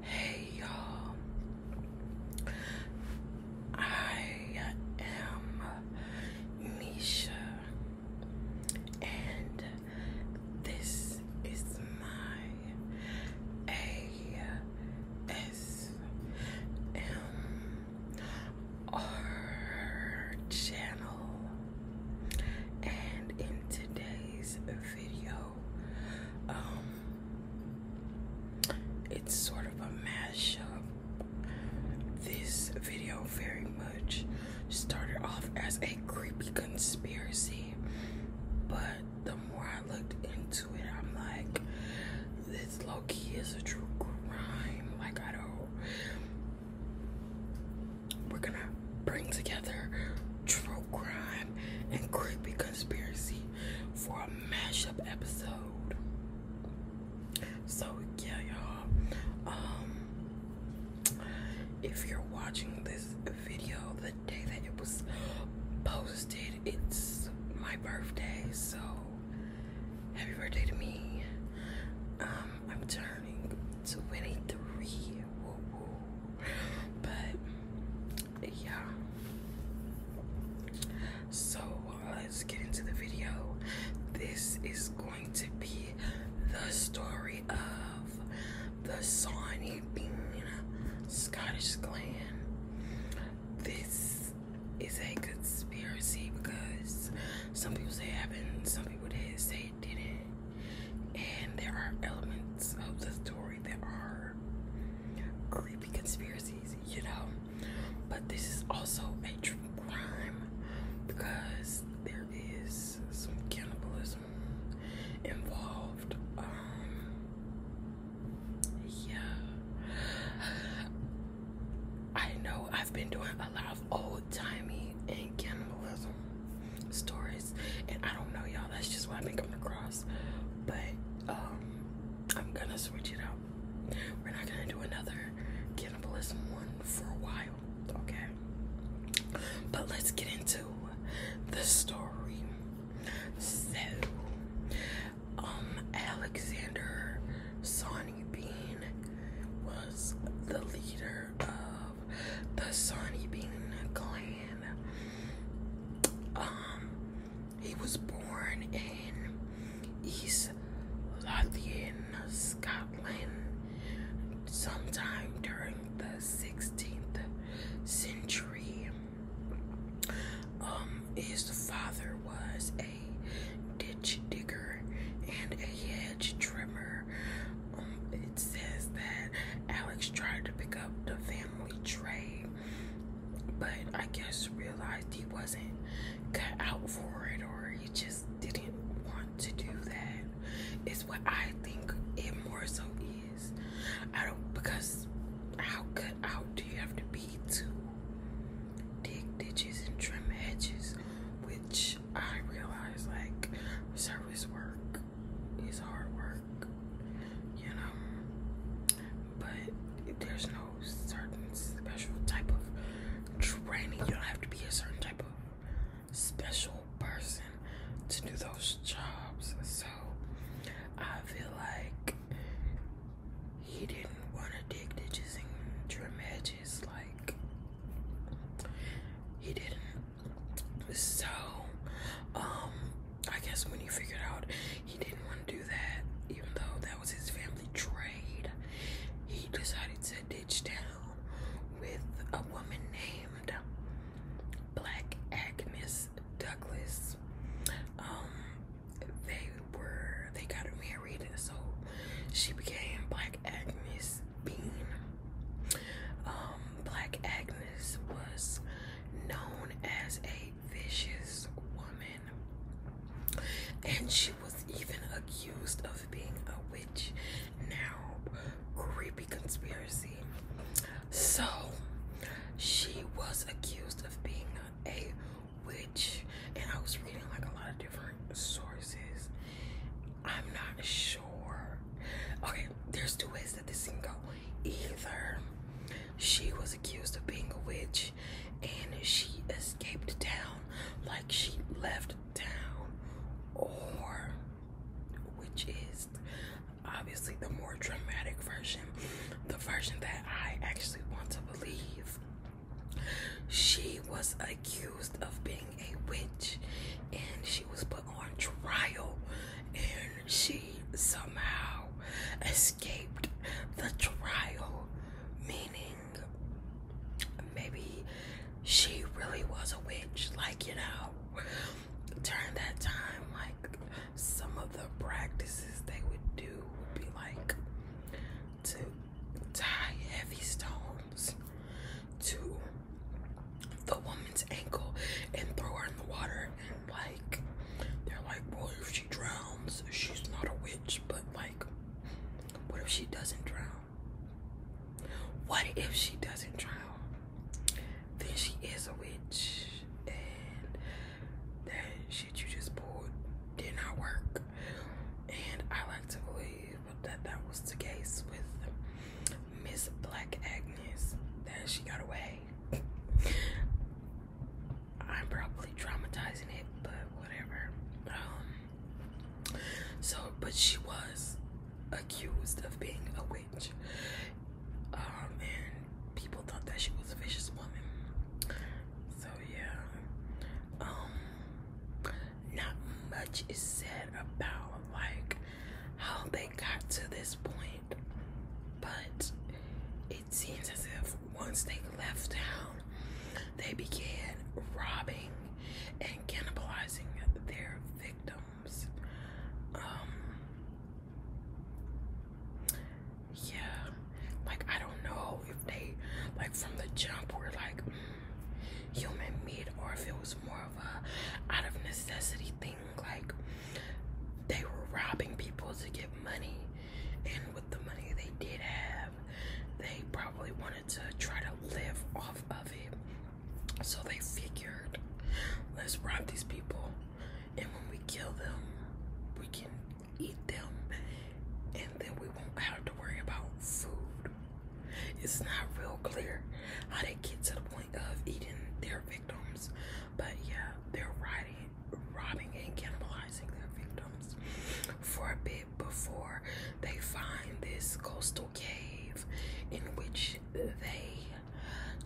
Hey y'all, I am Misha, and this is my ASMR channel and in today's video, um, it's sort of a mashup. This video very much started off as a creepy conspiracy, but the more I looked into it, I'm like, this low key is a true crime. Like, I don't we're gonna bring together true crime and creepy conspiracy for a mashup episode. So yeah, y'all. Um, if you're watching this video the day that it was posted, it's my birthday. So happy birthday to me. Um, I'm turning 23 but yeah. So uh, let's get into the video. This is going to be the story of the Sawney Scottish clan. This is a conspiracy because some people say it happened, some people did say did it. And there are elements of the story that are creepy conspiracies, you know. But this is also a true crime because there is some cannibalism involved. Um, yeah. I know I've been doing a lot of old old timey and cannibalism stories, and I don't know, y'all. That's just what I've been coming across. But um, I'm gonna switch it up. We're not gonna do another cannibalism one for a while, okay? But let's get into the story. So, um, Alexander Sonny Bean was the leader of the Sonny Bean clan. Um, he was born in East Lothian, Scotland, sometime during the 16th century. Um, his father was a ditch digger and a hedge trimmer it says that Alex tried to pick up the family trade, but I guess realized he wasn't cut out for it or he just didn't want to do that. Is what I think it more so is. I don't, because how cut out do you have to be to dig ditches and trim edges, Which I realize like service work is hard work, you know. But there's no certain special type of training. You don't have to be a certain type of special person to do those jobs. So I feel like he didn't want to dig ditches and trim hedges like he didn't so, um, I guess when he figured out he didn't want to do that, even though that was his family trade, he decided to ditch down with a woman named Black Agnes Douglas. Um, they were, they got married, so she became Black Agnes Bean. Um, Black Agnes was known as a vicious woman, and she was even accused of being a witch. Now, creepy conspiracy. So, she was accused of being a witch, and I was reading like a lot of different sources. I'm not sure. Okay, there's two ways that this can go. Either she was accused of being a witch and she escaped town, like she left town, or which is obviously the more dramatic version, the version that I actually want to believe. She was accused of being a witch and she was put on trial and she somehow escaped the trial meaning maybe she really was a witch like you know during that time like some of the practices they would do would be like to tie heavy stones to the woman's ankle and throw her in the water and like they're like well if she drowns she's not a witch but like what if she doesn't drown what if she doesn't drown then she is a witch and that shit you just pulled did not work and i like to believe that that was the case with Miss Black Agnes that she got away. I'm probably traumatizing it, but whatever. Um, so, but she was accused of being a witch, um, and people thought that she was a vicious woman. So yeah, um, not much is said about like how they got to this point, but it seems as if once they left town, they began robbing and cannibalizing their victims. Um, yeah, like I don't know if they, like from the jump, were like, human meat or if it was more of a out of necessity thing like they were robbing people to get money and with the money they did have they probably wanted to try to live off of it so they figured let's rob these people and when we kill them we can eat them and then we won't have to worry about food it's not real clear how they get to the point of eating their victims, but yeah, they're riding, robbing and cannibalizing their victims for a bit before they find this coastal cave in which they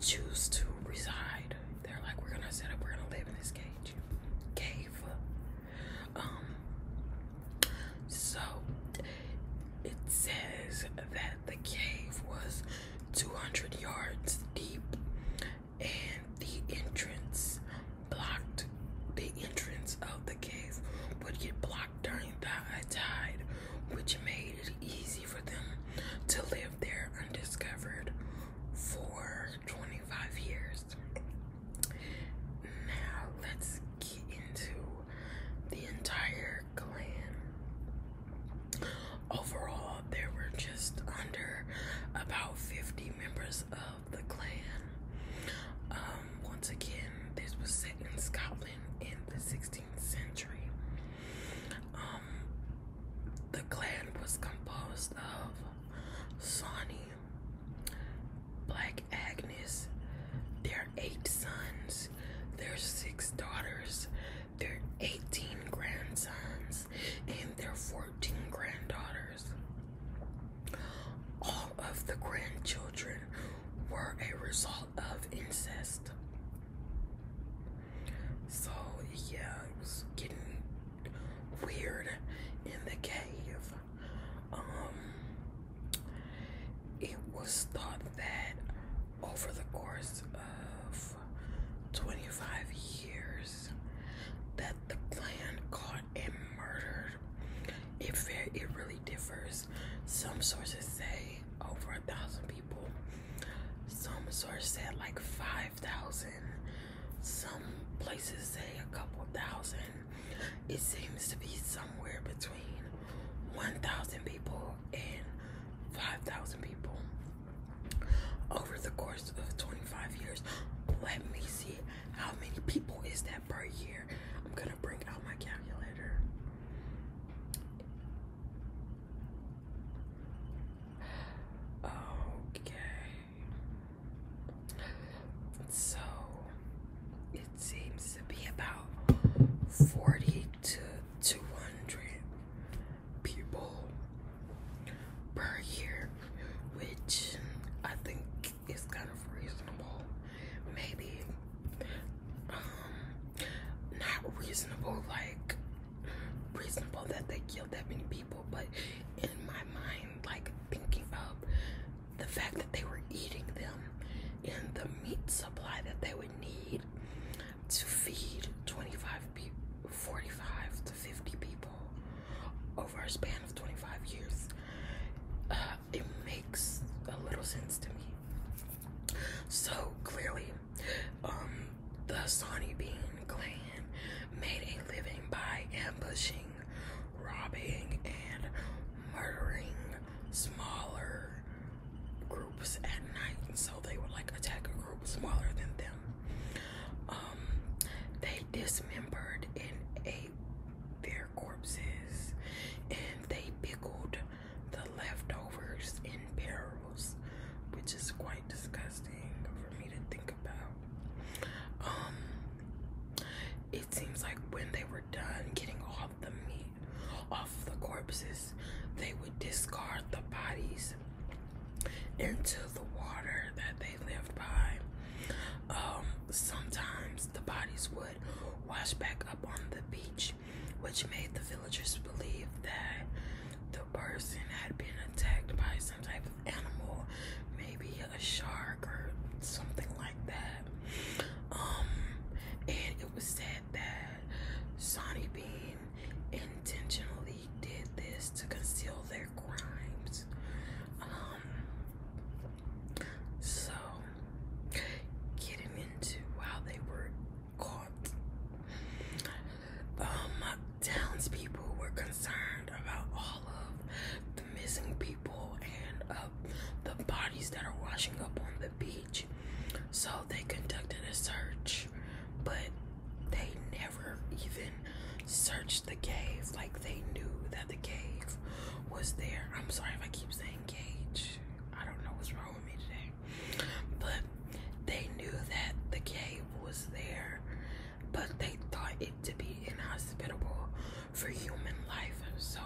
choose to reside. They're like, we're gonna set up, we're gonna live in this cage cave. Um, so it says that the cave was 200 yards deep and the entrance blocked the entrance of the cave would get blocked during the high tide which made it easy for them to live there undiscovered for 25 years now let's into the entire clan. Overall, there were just under about 50 members of the clan. Um, once again, this was set in Scotland in the 16th century. Um, the clan was composed of Sawney, Black Agnes, their eight sons, their six daughters, their 18 grandsons, and their 14 granddaughters. All of the grandchildren were a result of incest. So, yeah, it was getting weird in the cave. Um, it was thought that over the course of 25 years that the clan caught and murdered it very, it really differs some sources say over a thousand people some sources said like 5,000 some places say a couple thousand it seems to be somewhere between 1,000 people and 5,000 people over the course of 25 years. Let me see how many people is that per year. I'm gonna bring out my calculator. Okay. So it seems to be about 40 to 200 people per year, which I think is kind of reasonable. Maybe um, not reasonable, like reasonable that they killed that many people, but in my mind, like thinking of the fact that they were eating them and the meat supply that they would need to feed 25 people, 45 to 50 people over a span of 25 years, uh, it makes a little sense to me. So clearly, um, the Sony Bean clan made a living by ambushing, robbing, and murdering smaller groups at night, so they would like attack a group smaller than them. Um, they dismembered and ate their corpses, and they pickled the leftovers in barrels, which is quite disgusting for me to think about. Um, it seems like when they were done getting off the meat off the corpses, they would discard the bodies into the water that they lived by. Um, sometimes the bodies would wash back up on the beach, which made the villagers believe that the person had been attacked by some type of animal, maybe a shark or something like that. Um, and it was said that Sonny Bean intentionally did this to conceal their crimes. Um, so getting into how they were caught, um, townspeople were concerned about all of the missing people and uh, the bodies that are washing up on the beach. So they conducted a search, but they never even searched the cave. Like they knew that the cave was there. I'm sorry if I keep saying cave. I don't know what's wrong with me today. But they knew that the cave was there, but they thought it to be inhospitable for human life. So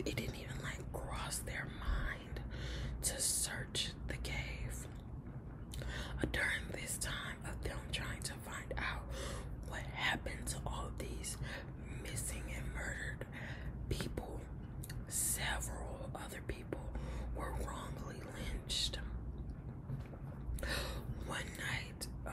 it didn't even like cross their mind to search the cave. Uh, during this time of them trying to find out what happened to all these missing and murdered people, several other people were wrongly lynched. One night, um,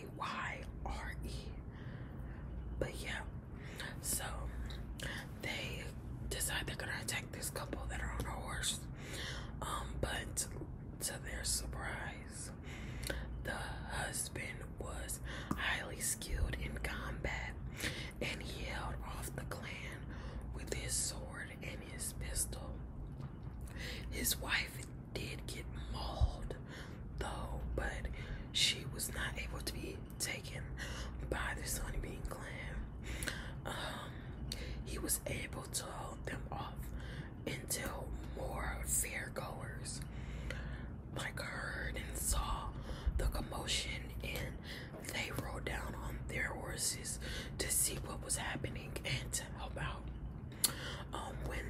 K-Y-R-E. But yeah, so they decide they're gonna attack this couple that are on a horse. Um, but to their surprise, the husband was highly skilled in combat and he held off the clan with his sword and his pistol. His wife did get mauled though, but she was not able to be taken by the Sunbeam clan. Um, he was able to hold them off until more fairgoers like heard and saw the commotion and they rode down on their horses to see what was happening and to help out. Um, when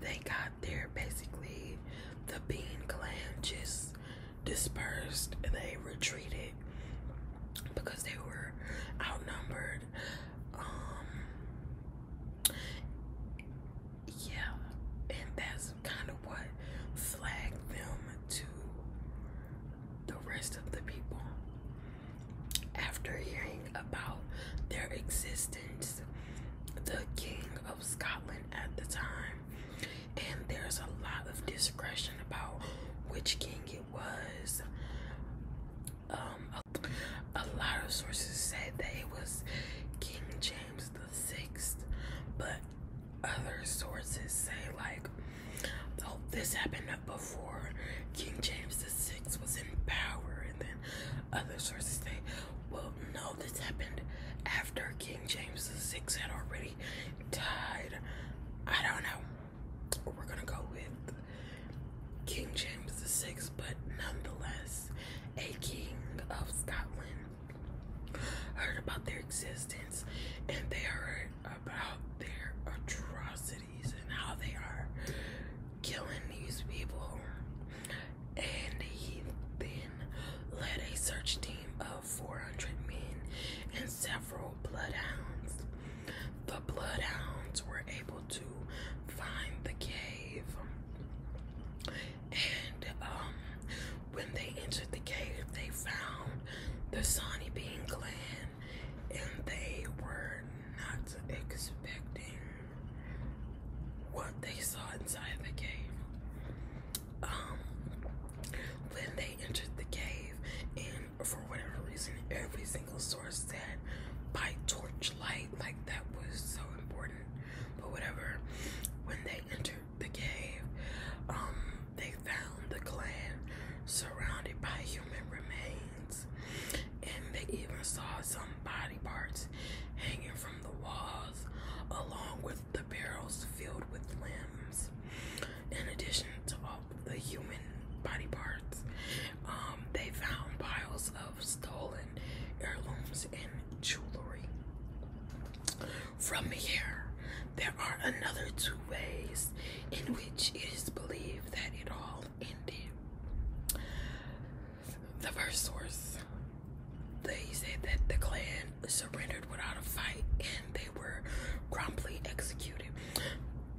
they got there, basically the bean clan just dispersed and they retreated because they were outnumbered. Um, yeah, and that's kind of what flagged them to the rest of the people. After hearing about their existence, the king of Scotland at the time, and there's a lot of discretion about which king it was. Um, a, lot of sources say that it was King James the Sixth, but other sources say like, oh, this happened before King James the six was in power, and then other sources say, well, no, this happened after King James the VI had already died. I don't know. We're gonna go with King James VI, but nonetheless, a king of Scotland heard about their existence and they heard about their atrocities and how they are killing these people. And he then led a search team of 400 men and several bloodhounds. The bloodhounds were able to find the cave. And um, when they entered the cave, they found the Sonny being clan and they were not expecting what they saw inside the cave. Um, when they entered the cave, and for whatever reason, every single source said by torchlight, like that was so important. But whatever, when they entered the cave, um, they found the clan surrounded by human remains and they even saw some body parts hanging from the walls, along with the barrels filled with limbs. In addition to all the human body parts, um, they found piles of stolen heirlooms and jewelry. From here, there are another two ways in which it is believed that it all ended the first source, they said that the clan surrendered without a fight and they were promptly executed.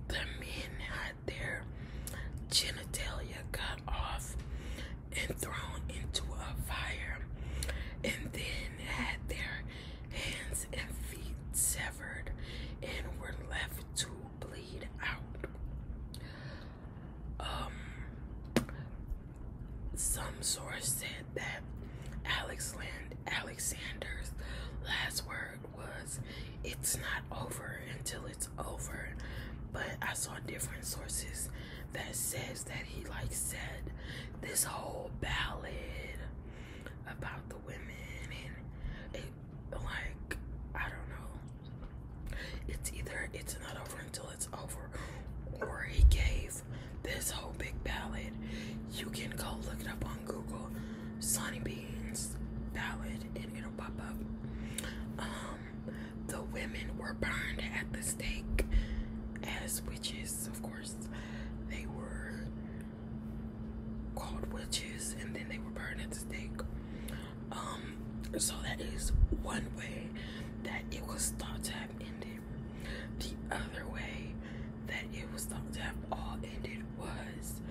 The men had their genitalia cut off and thrown into a fire, and then had their hands and feet severed and were left to bleed out. Um, some source said that Alex Land Alexander's last word was, "It's not over until it's over." But I saw different sources that says that he like said this whole ballad about the women and it like I don't know. It's either it's not over until it's over, or he gave this whole big ballad. You can go look it up on Google, Sonny Beans ballad, and it'll pop up. Um, the women were burned at the stake as witches, of course. They were called witches, and then they were burned at the stake. Um, so that is one way that it was thought to have ended. The other way that it was thought to have all ended was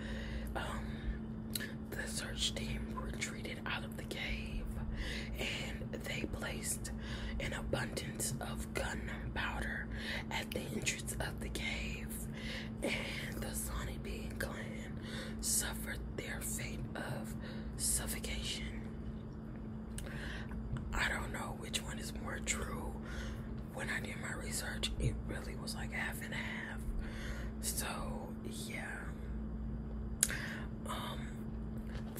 um, the search team retreated out of the cave and they placed an abundance of gunpowder at the entrance of the cave and the sonny being clan men suffered their fate of suffocation. I don't know which one is more true. When I did my research, it really was like half and half. So, yeah. Um,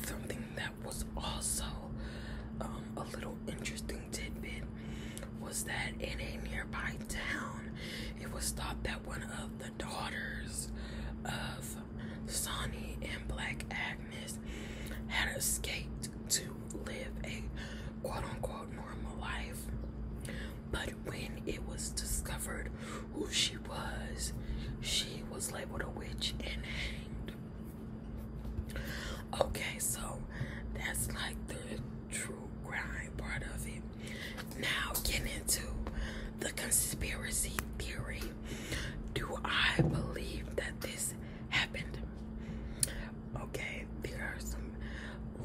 something that was also um, a little interesting tidbit was that in a nearby town, it was thought that one of the daughters of Sonny and Black Agnes had escaped to live a quote unquote normal life. But when it was discovered who she was, she was labeled a witch and hanged. Okay, so that's like the true crime part of it. Now, getting into the conspiracy theory. Do I believe that this happened? Okay, there are some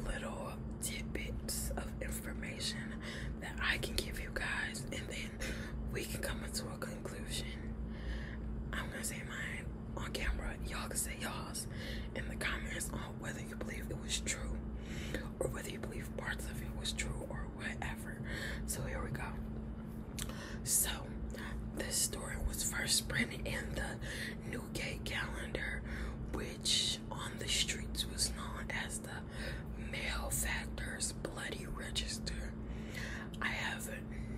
little tidbits of information that I can give you guys, and then we can come into a conclusion. I'm gonna say mine on camera, y'all can say y'all's in the comments whether you believe it was true or whether you believe parts of it was true or whatever. So here we go. So this story was first printed in the Newgate calendar, which on the streets was known as the Malefactors Bloody Register. I have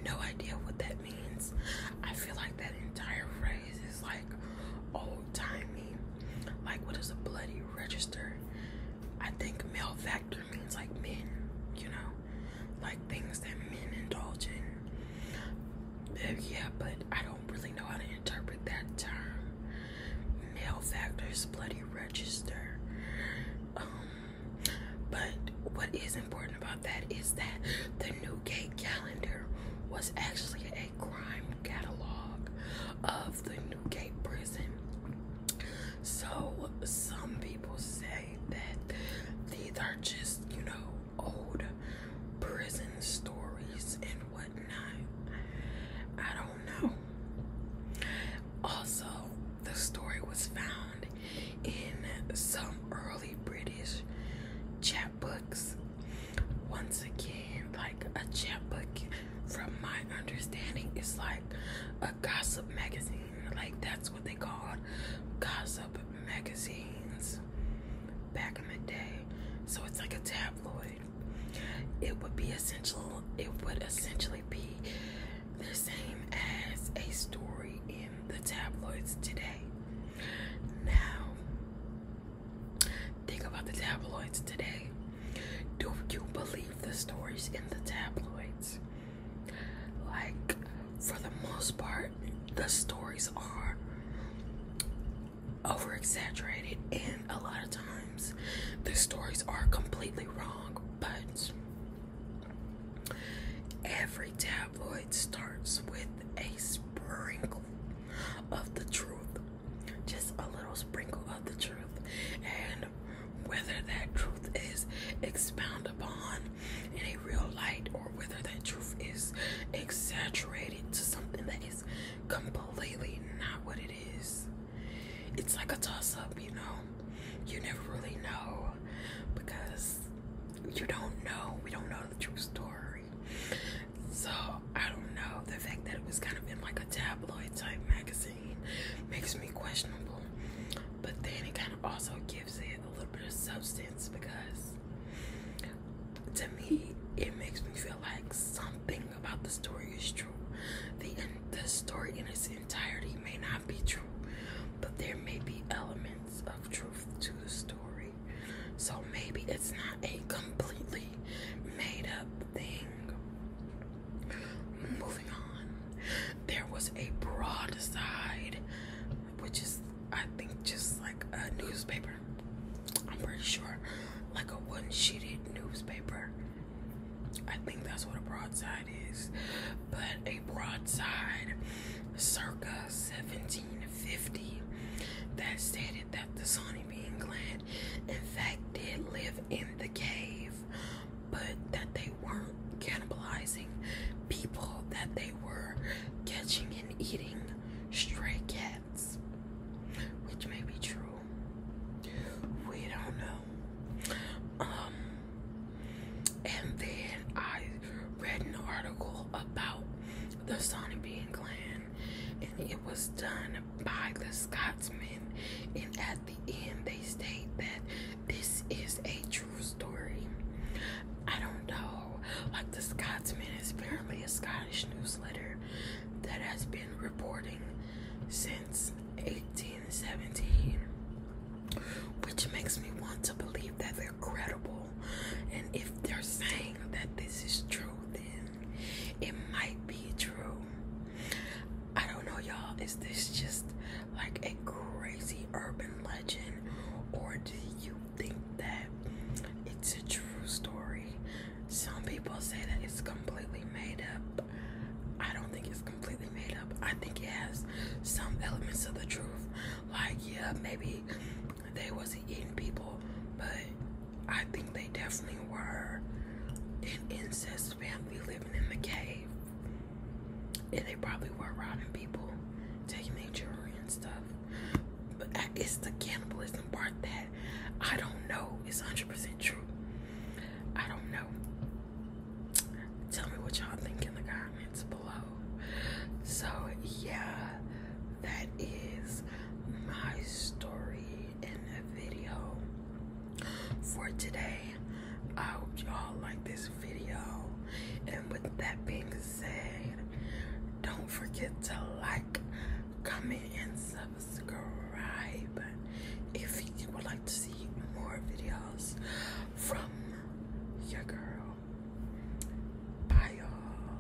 no idea what that means. I feel like that entire phrase is like old timey. Like, what is a bloody register. I think male factor means like men, you know, like things that men indulge in. Uh, yeah, but I don't really know how to interpret that term. Male factors, bloody register. Um, but what is important about that is that the Newgate calendar was actually a crime catalog of the Newgate prison. So some people say that these are just, you know, old prison stories and whatnot. I don't know. Also, the story was found in some early British chapbooks once again, like a chat book, from my understanding, is like a gossip magazine. Like that's what they called gossip magazines back in the day. So it's like a tabloid. It would be essential. It would essentially be the same as a story in the tabloids today. Now, Think about the tabloids today. Do you believe the stories in the tabloids? Like, for the most part, the stories are over exaggerated, and a lot of times the stories are completely wrong. But every tabloid starts with a sprinkle of the truth just a little sprinkle of the truth and whether that truth is expounded upon in a real light or whether that truth is exaggerated to something that is completely not what it is it's like a toss-up you know you never really know because you don't know we don't know the true story so I don't know. The fact that it was kind of in like a tabloid type magazine makes me questionable. But then it kind of also gives it a little bit of substance because to me it makes me feel like something about the story is true. The the story in its entirety may not be true, but there may be elements of truth to the story. So maybe it's not a completely made up thing. Moving on, there was a broadside, which is, I think, just like a newspaper. I'm pretty sure, like a one sheeted newspaper. I think that's what a broadside is. But a broadside circa 1750 that stated that the Sony bean in fact, did live in the cave, but that they weren't cannibalizing people, that they were catching and eating stray cats, which may be true. We don't know. Um, and then I read an article about the Sonny Bean clan and it was done by the Scotsmen. And at the end, they state that this is a true story. I don't know. Like the Scotsman is apparently a Scottish newsletter that has been reporting since 1817, which makes me want to believe that they're credible. And if they're saying that this is true, then it might be true. I don't know, y'all. Is this just like a crazy urban legend, or do you think that it's a true story? Some people say that it's completely made up. I don't think it's completely made up. I think it has some elements of the truth. Like, yeah, maybe they was eating people, but I think they definitely were an incest family living in the cave. And they probably were robbing people, taking their jewelry and stuff. But it's the cannibalism part that I don't know is 100% true. I don't know. Tell me what y'all think in the comments below. So, yeah, that is my story in the video for today. I hope y'all like this video. And with that being said, don't forget to like, comment, and subscribe if you would like to see more videos from your girl. Bye, y'all.